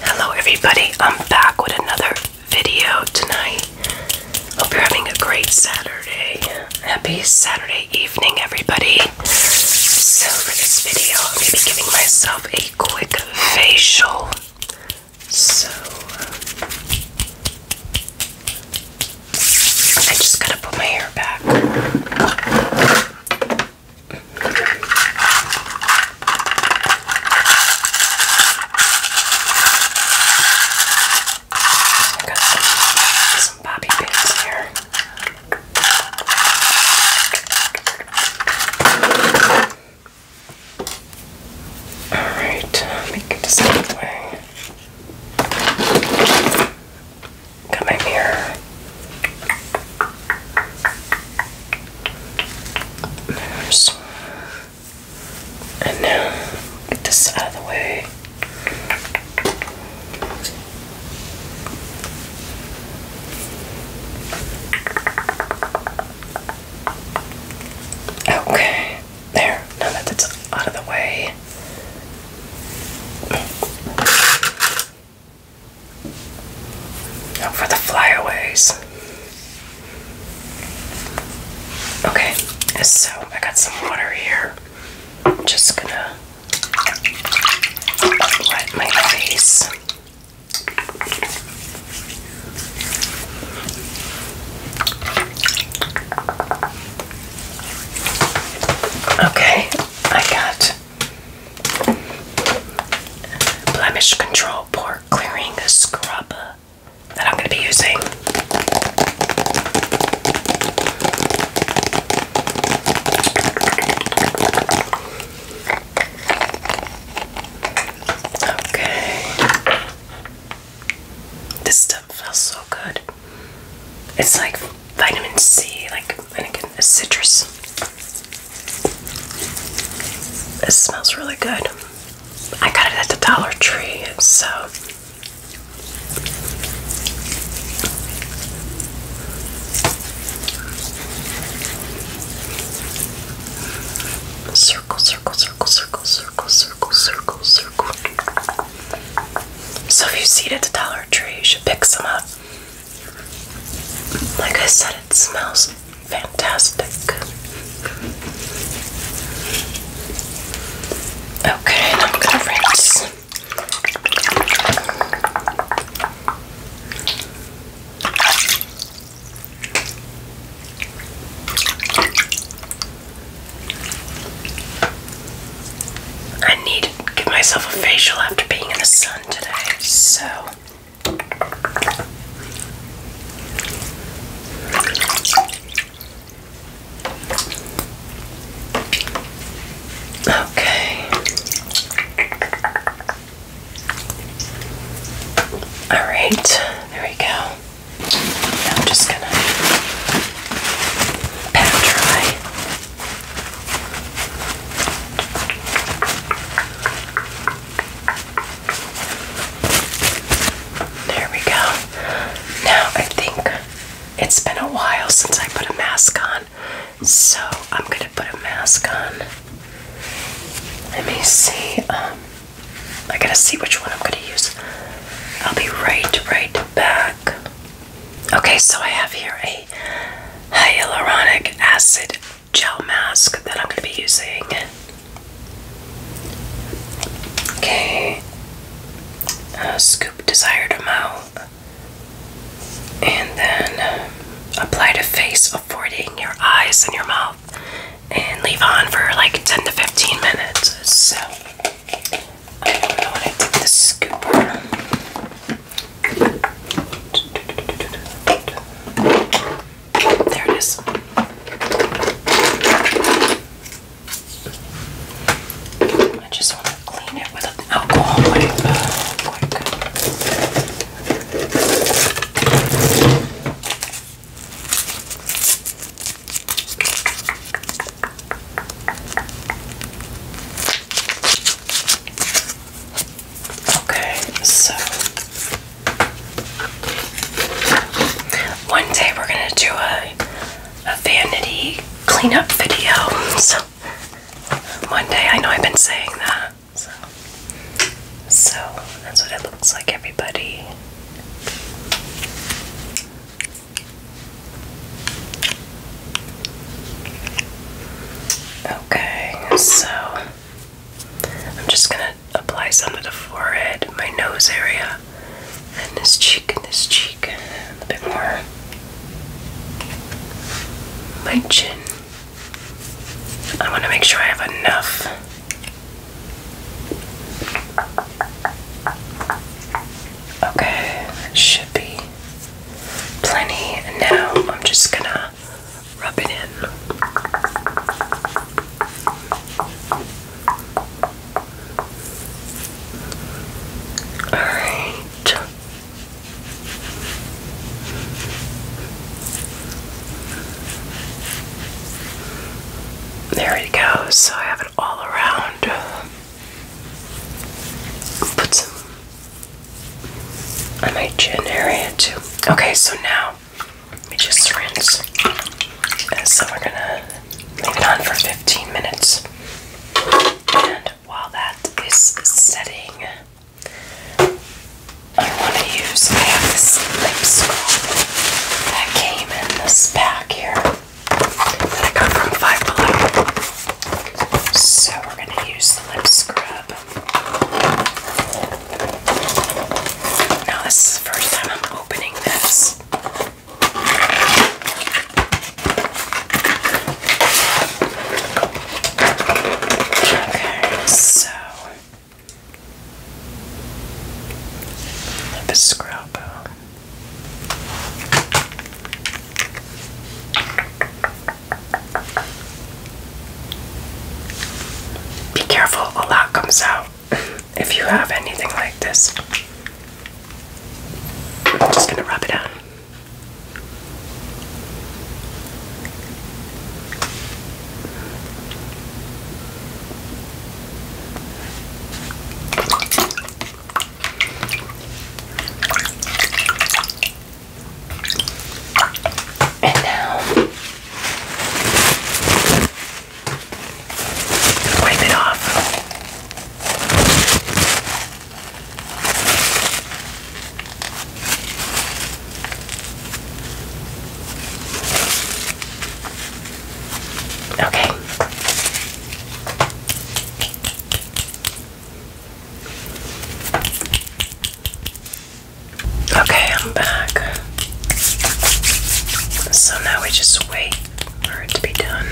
Hello everybody, I'm back with another video tonight. Hope you're having a great Saturday. Happy Saturday evening everybody. So for this video, I'm going to be giving myself a quick facial. So um, I just gotta put my hair back i got some, bobby pins here. Alright, make it this Got my mirror. There's. And now, get this out of the way. Okay, there. Now that it's out of the way. Oh, for the flyaways. Okay, so I got some water here. I'm just gonna wet my face. Okay, I got Blemish Control Pore Clearing Scrub that I'm going to be using. Okay. This stuff feels so good. It's like vitamin C, like I think citrus. It smells really good. I got it at the Dollar Tree, so circle, circle, circle, circle, circle, circle, circle, circle. So if you see it at the Dollar Tree, you should pick some up. Like I said, it smells fantastic. Okay, I'm gonna rinse. I need to give myself a facial after being in the sun today, so Okay. All right. There we go. I'm just going to pat dry there we go. Now I think it's been a while since I put a mask on, so I'm gonna put a mask on. Let me see. Um, I gotta see which one I'm gonna use. I'll be right, right back. Okay, so I have here a hyaluronic acid gel mask that I'm going to be using. Okay, scoop desired amount and then um, apply to face, avoiding your eyes and your mouth, and leave on for like 10 to 15 minutes. So, I don't know when I take the scooper. There it is. I just want to clean it with an alcohol wipe quick. Uh, uh, Okay, so one day we're gonna do a a vanity cleanup video. So one day I know I've been saying that. So so that's what it looks like everybody. Okay, so I'm just gonna apply some to the forehead, my nose area, and this cheek, and this cheek, a bit more. My chin. I want to make sure I have enough. Okay, should be plenty. And now I'm just gonna rub it in. Alright. There it goes. So I have it all around. Put on my chin area too. Okay, so now we just rinse. And so we're gonna leave it on for 15 minutes. And while that is setting, I want to use, I have this lip scrub that came in this pack here that I got from Five Below. So we're going to use the lip scrub. Now, this is the first time I'm opening this. Okay, so lip scrub. Be careful, a lot comes out if you have anything like this. I'm just going to rub it on. And now wipe it off. Okay. Okay, I'm back. So now we just wait for it to be done.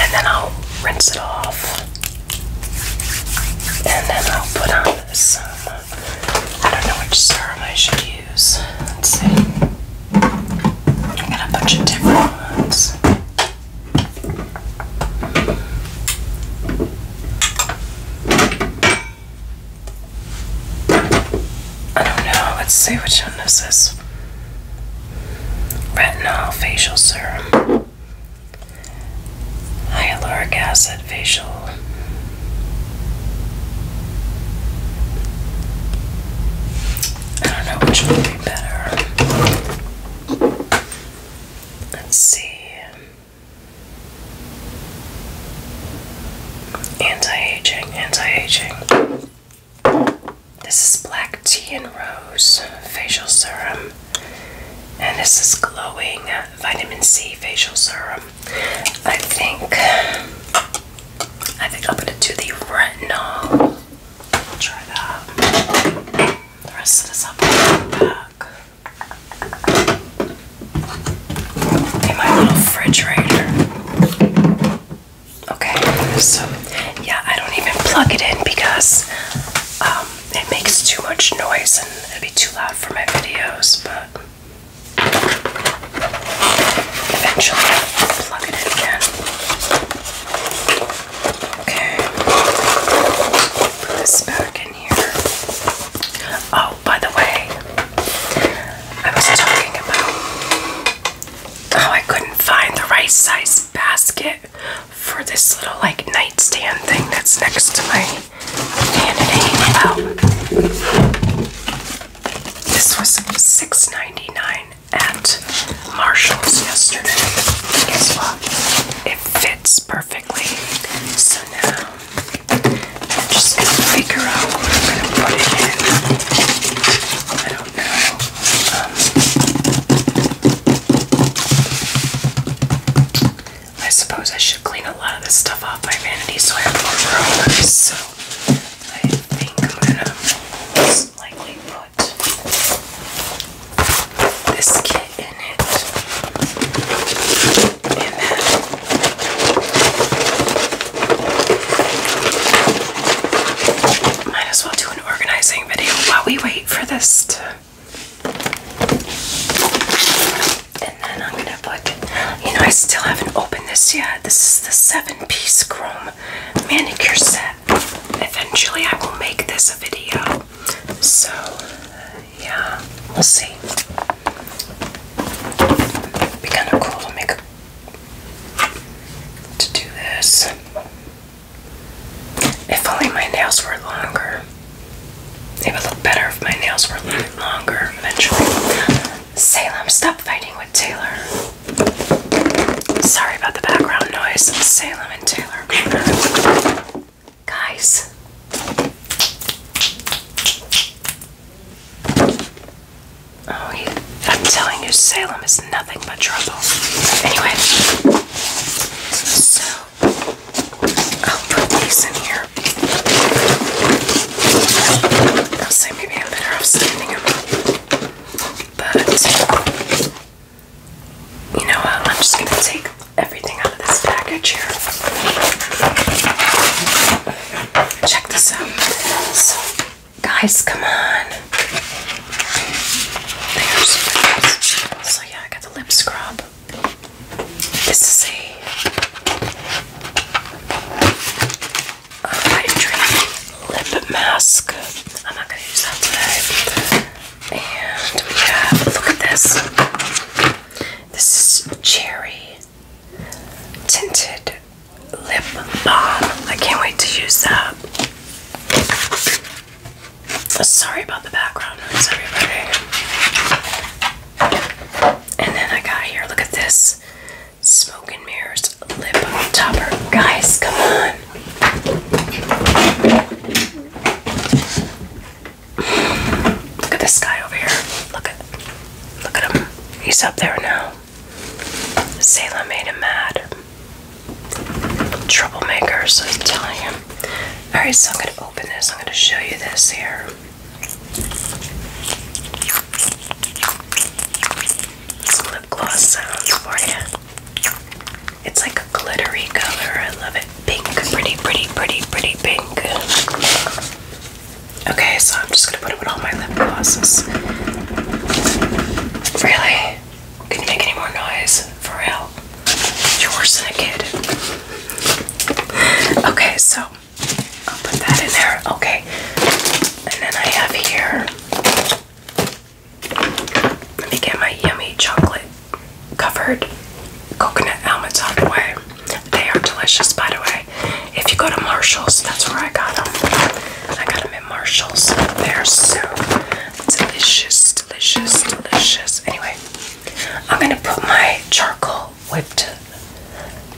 And then I'll rinse it off. And then I'll put on some. I don't know which serum I should use. Let's see. I got a bunch of different ones. I don't know. Let's see which one this is. Retinol facial serum. Hyaluronic acid facial. I don't know which would be better. Let's see. Anti-aging, anti-aging. This is black tea and rose facial serum. And this is glowing vitamin C facial serum. I think I think I'll put it to the retinol. I'll try that. The rest of this up In my little refrigerator. Okay, so yeah, I don't even plug it in because um, it makes too much noise and it'd be too loud for my videos, but eventually I'll plug it in again. Okay. Put this back in here. Oh, by the way, I was talking about how I couldn't find the right size basket for this little like nightstand thing that's next to my vanity. Well, this was 6 at Marshall's yesterday. Guess what? It fits perfectly. So now I'm just gonna figure out what I'm gonna put it in. I don't know. Um, I suppose I should clean a lot of this stuff off my vanity so I have more room. So I think I'm gonna likely put this kit in it. might as well do an organizing video while we wait for this and then I'm gonna you know, I still haven't opened this yet. This is the seven piece chrome manicure set. Eventually, I will make this a video. So, yeah, we'll see. be kind of cool to make to do this. If only my nails were longer. It would look better if my nails were longer eventually. Salem, stop fighting Taylor. Sorry about the background noise. Salem and Taylor. Guys. Oh, he, I'm telling you, Salem is nothing but trouble. Anyway, so I'll put these in here. I'll say maybe I'm better off standing them but you know what? I'm just gonna take everything out of this package here. Check this out. guys, come on. so yeah, I got the lip scrub. This is a hydrating lip mask. I'm not gonna use that today. And we have look at this. This is cherry tinted lip balm. I can't wait to use that. Sorry about the background noise, everybody. And then I got here, look at this. Smoke and Mirrors Lip Topper. Guys, come on. Look at this guy over here. Look at look at him. He's up there now. Salem made him mad. Troublemakers, I'm telling you. Alright, so I'm gonna open this. I'm gonna show you this here lip gloss sounds for you. It's like a glittery color. I love it. Pink. Pretty, pretty, pretty, pretty pink. Okay, so I'm just gonna put it with all my lip glosses. Really? Can you make any more noise? For real? You're worse than kid. Okay, so I'll put that in there. Okay. And then I have here let me get my yummy chocolate covered coconut almonds out of the way. They are delicious, by the way. If you go to Marshall's, that's where I got them. I got them at Marshall's. They're so delicious, delicious, delicious. Anyway, I'm gonna put my charcoal whipped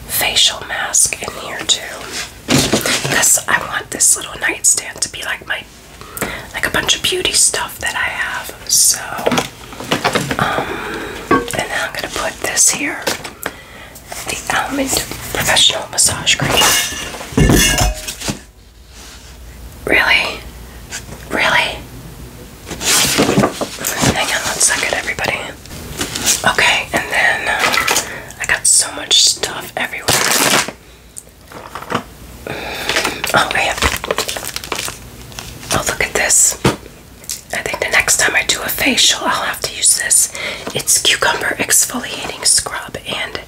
facial mask in here too. Because I want this little nightstand to be like my like a bunch of beauty stuff that I have. So um and then I'm gonna put this here. The almond professional massage cream. Really? Really? Hang on let's suck one second, everybody. Okay, and then I got so much stuff everywhere. Oh, man! Oh, look at this. I think the next time I do a facial, I'll have to use this. It's cucumber exfoliating scrub and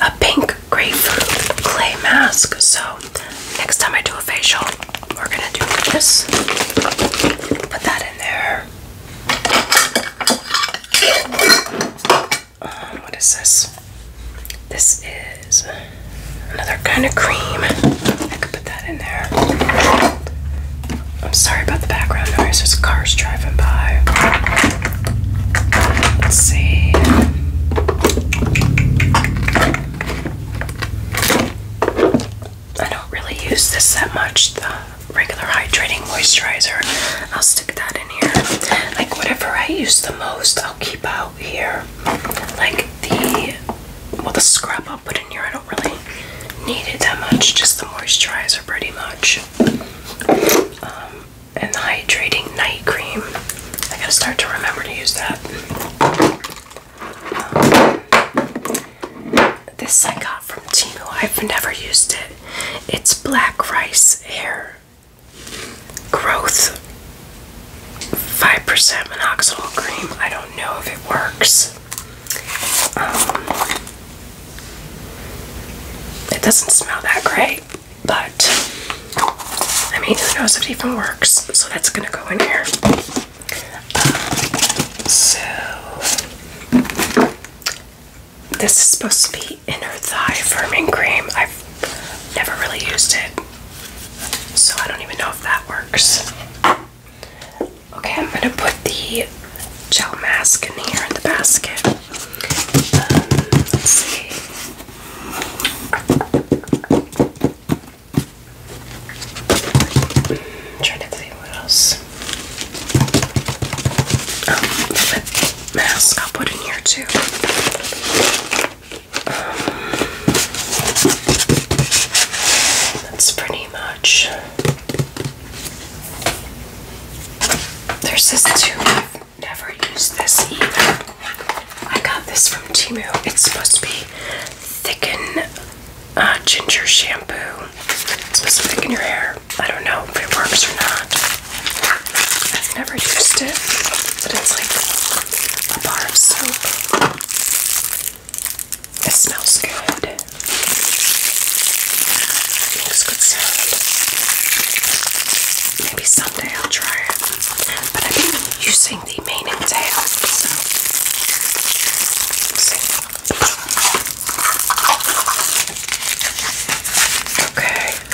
a pink grapefruit clay mask. So, next time I do a facial, we're gonna do this. Put that in there. What is this? This is another kind of cream. I could put that in there. I'm sorry about the background noise. There's cars driving by. Let's see. I don't really use this that much. though regular hydrating moisturizer. I'll stick that in here. Like whatever I use the most, I'll keep out here. Like the well the scrub I'll put in here. I don't really need it that much, just the moisturizer pretty much. Um, and the hydrating night cream. I gotta start to remember to use that. Um, this I got from Timu. I've never used it. It's black rice hair growth 5% minoxidil cream. I don't know if it works. Um, it doesn't smell that great, but I mean, who knows if it even works? So that's gonna go in here. Um, so this is supposed to be inner thigh firming cream. I've never really used it, so I don't even know if that works. Okay, I'm gonna put the gel mask in here in the basket. Um, let's see. trying to think what else. Um, mask i put in here too. that's pretty much. There's this too. I've never used this either. I got this from Timu. It's supposed to be thicken uh, ginger shampoo specific in your hair. I don't know if it works or not. I've never used it, but it's like a bar of soap. It smells good. Makes good sound. Maybe someday I'll try it. But I've been using the mane and tail, so. Okay,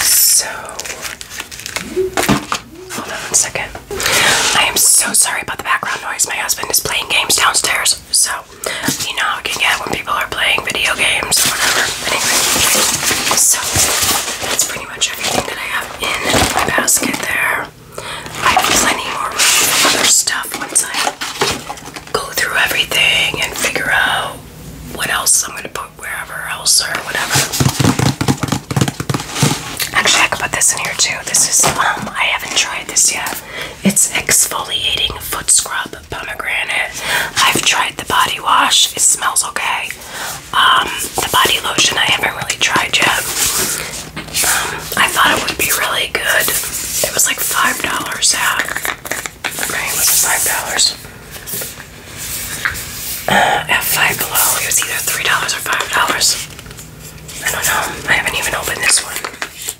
so hold on one second. I am so sorry about the background noise. My husband is playing games downstairs, so you know how it can get when people are playing video games or whatever. Anyway, so that's pretty much everything that I have in my basket there. I have plenty more room for other stuff once I go through everything and figure out what else I'm gonna put wherever else or whatever. Actually, I can put this in here too. This is um I haven't tried this yet. It's exfoliating foot scrub pomegranate. I've tried the body wash. It smells okay. Um, the body lotion I haven't really tried yet. I thought it would be really good. It was like $5 out. Right, was $5? Uh, Five Below, it was either $3 or $5. I don't know. I haven't even opened this one.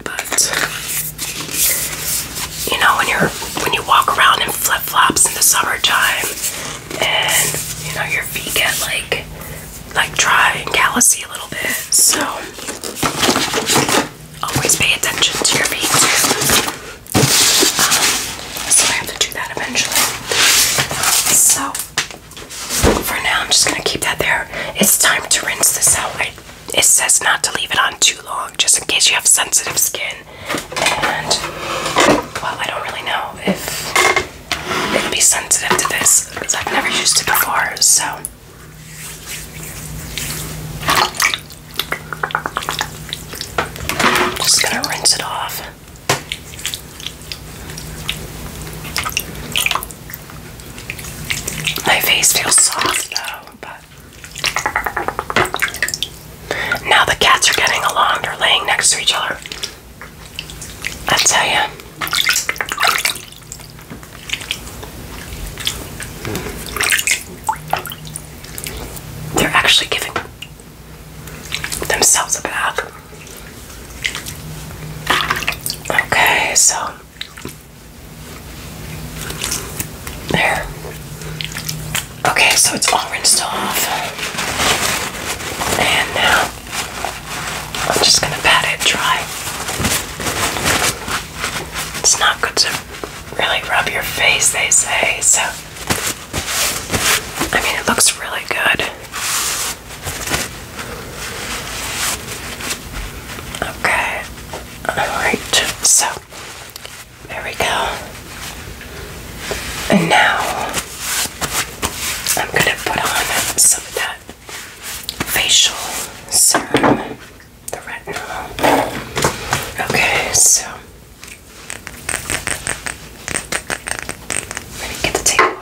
But, you know, when you're when you walk around in flip flops in the summertime and you know your feet get like like dry and callousy a little bit. So always pay attention to your feet um, so I have to do that eventually. So for now, I'm just gonna keep that there. It's time to rinse this out. I, it says not to leave it on too long, just in case you have sensitive skin. And well, I don't really know if it'll be sensitive to this because I've never used it before. So I'm just going to rinse it off. My face feels soft though, but now the cats are getting along. They're laying next to each other. I tell you. They're actually giving themselves a bath. Okay, so there. Okay, so it's all rinsed off. And now I'm just gonna pat it dry. It's not good to really rub your face, they say, so I mean, it looks really good. Okay, alright, so there we go. And now I'm gonna put on some of that facial serum, the retinol. Okay, so let me get the table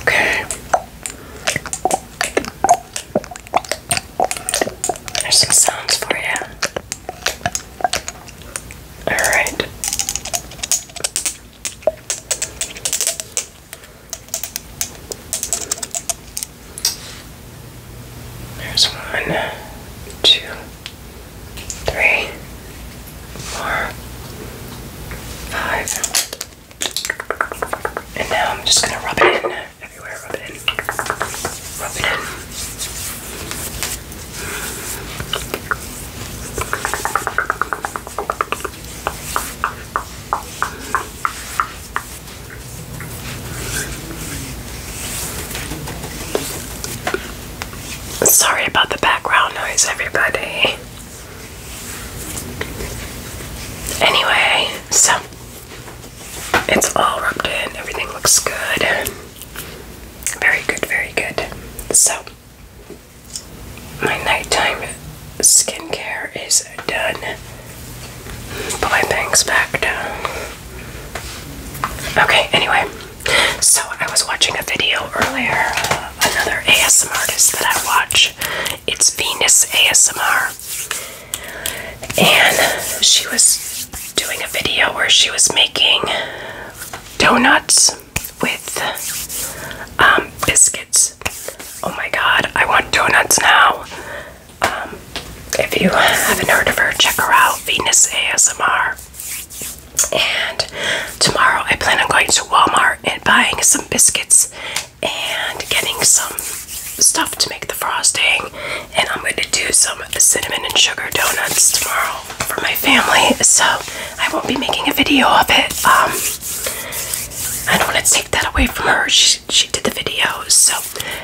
Okay. There's some sounds for you. Alright. There's one, two, three, four, five. And now I'm just gonna rub it in everywhere. Rub it in. Rub it in. Sorry about the background noise, everybody. Anyway, so it's all rubbed in, everything looks good. Very good, very good. So, my nighttime skincare is done. Put my bangs back down. Okay, anyway, so I was watching a video earlier, uh, another ASM artist that I watch, it's Venus ASMR. And she was doing a video where she was making donuts with um, biscuits. Oh my god, I want donuts now. Um, if you haven't heard of her, check her out Venus ASMR. And tomorrow I plan on going to Walmart and buying some biscuits and getting some stuff to make the frosting. And I'm going to do some of the cinnamon and sugar donuts tomorrow for my family, so I won't be making a video of it. Um, I don't want to take that away from her. She, she did the video, so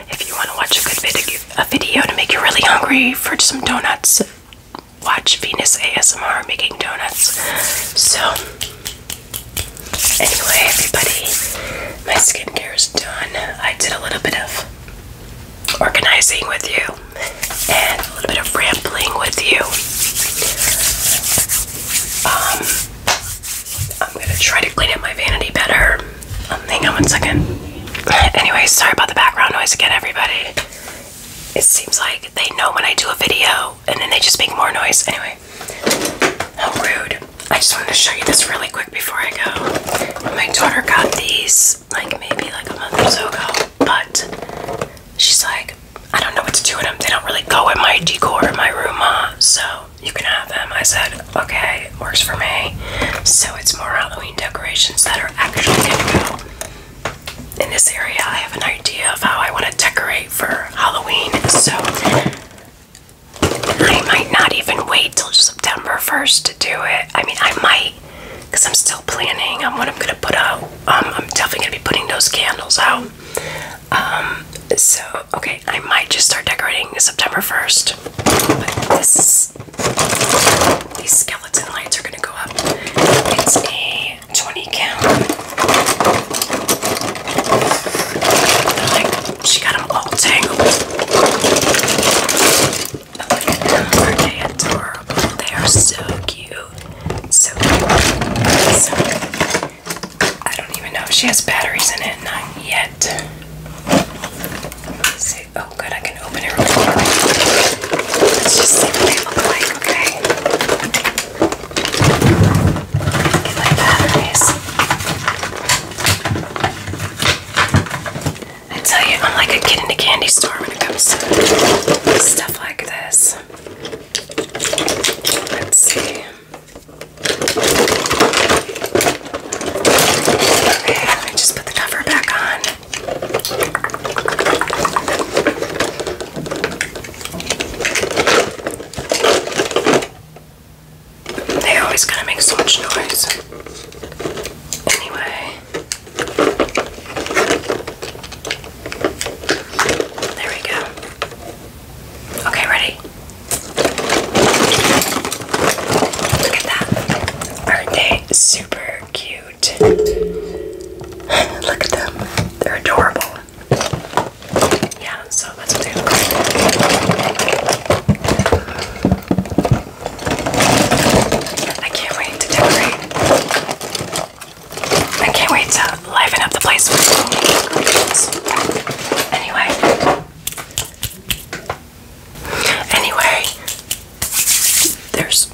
if you want to watch a good video, a video to make you really hungry for some donuts, watch Venus ASMR making donuts. So Anyway, everybody, my skincare is done. I did a little bit of organizing with you and a little bit of rambling with you. Um, I'm gonna try to clean up my vanity better. Um, hang on one second. Anyway, sorry about the background noise again, everybody. It seems like they know when I do a video and then they just make more noise anyway how rude i just wanted to show you this really quick before i go my daughter got these like maybe like a month ago but she's like i don't know what to do with them they don't really go with my decor in my room ma uh, so you can have them i said okay works for me so it's more halloween decorations that are actually gonna go in this area i have an idea of how i want to decorate for Halloween, so I might not even wait till September 1st to do it. I mean, I might because I'm still planning on what I'm gonna put out. Um, I'm definitely gonna be putting those candles out. Um, so okay, I might just start decorating September 1st. But these skeleton lights are gonna go up. It's a 20 count. Like, she got them all tangled. But are adorable? They are so cute. So cute. I don't even know she has batteries in it. Not yet. Oh, good. I can open it Let's just see what they look okay? my batteries. I tell you, I'm like a kid in a candy store when it comes to stuff like this. Let's see. Okay, I just put the cover back on. They always gotta make so much noise. Anyway. There we go. Okay, ready? Look at that. Aren't they super cute? Look at them. They're adorable yeah, so that's what they look like. I can't wait to decorate. I can't wait to liven up the place Anyway. Anyway, there's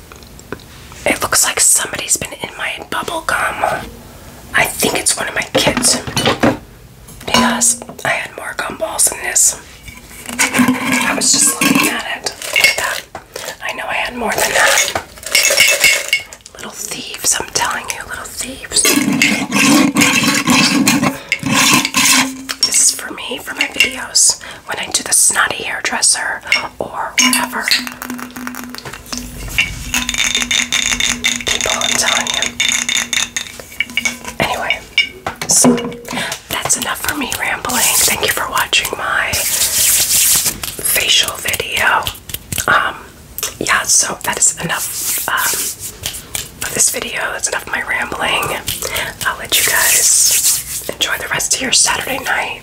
it looks like somebody's been in my bubble gum. I think it's one of my kids. Because I had more gumballs than this. I was just looking at it. Look at that. I know I had more than that. Little thieves, I'm telling you, little thieves. This is for me, for my videos, when I do the snotty hairdresser or whatever. People, I'm telling you. Anyway, so that's enough for me rambling. Thank you for watching my facial video. Um, yeah, so that is enough um, of this video. That's enough of my rambling. I'll let you guys enjoy the rest of your Saturday night.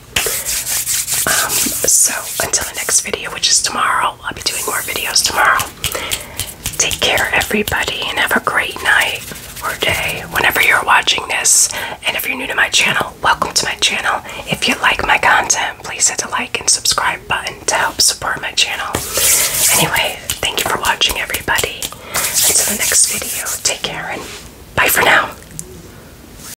Um, so until the next video, which is tomorrow, I'll be doing more videos tomorrow. Take care, everybody, and have a great night or day whenever you're watching this. And if you're new to my channel, welcome to my channel. If you like my content, please hit the like and subscribe button to help support my channel. Anyway, thank you for watching, everybody. Until the next video, take care and bye for now.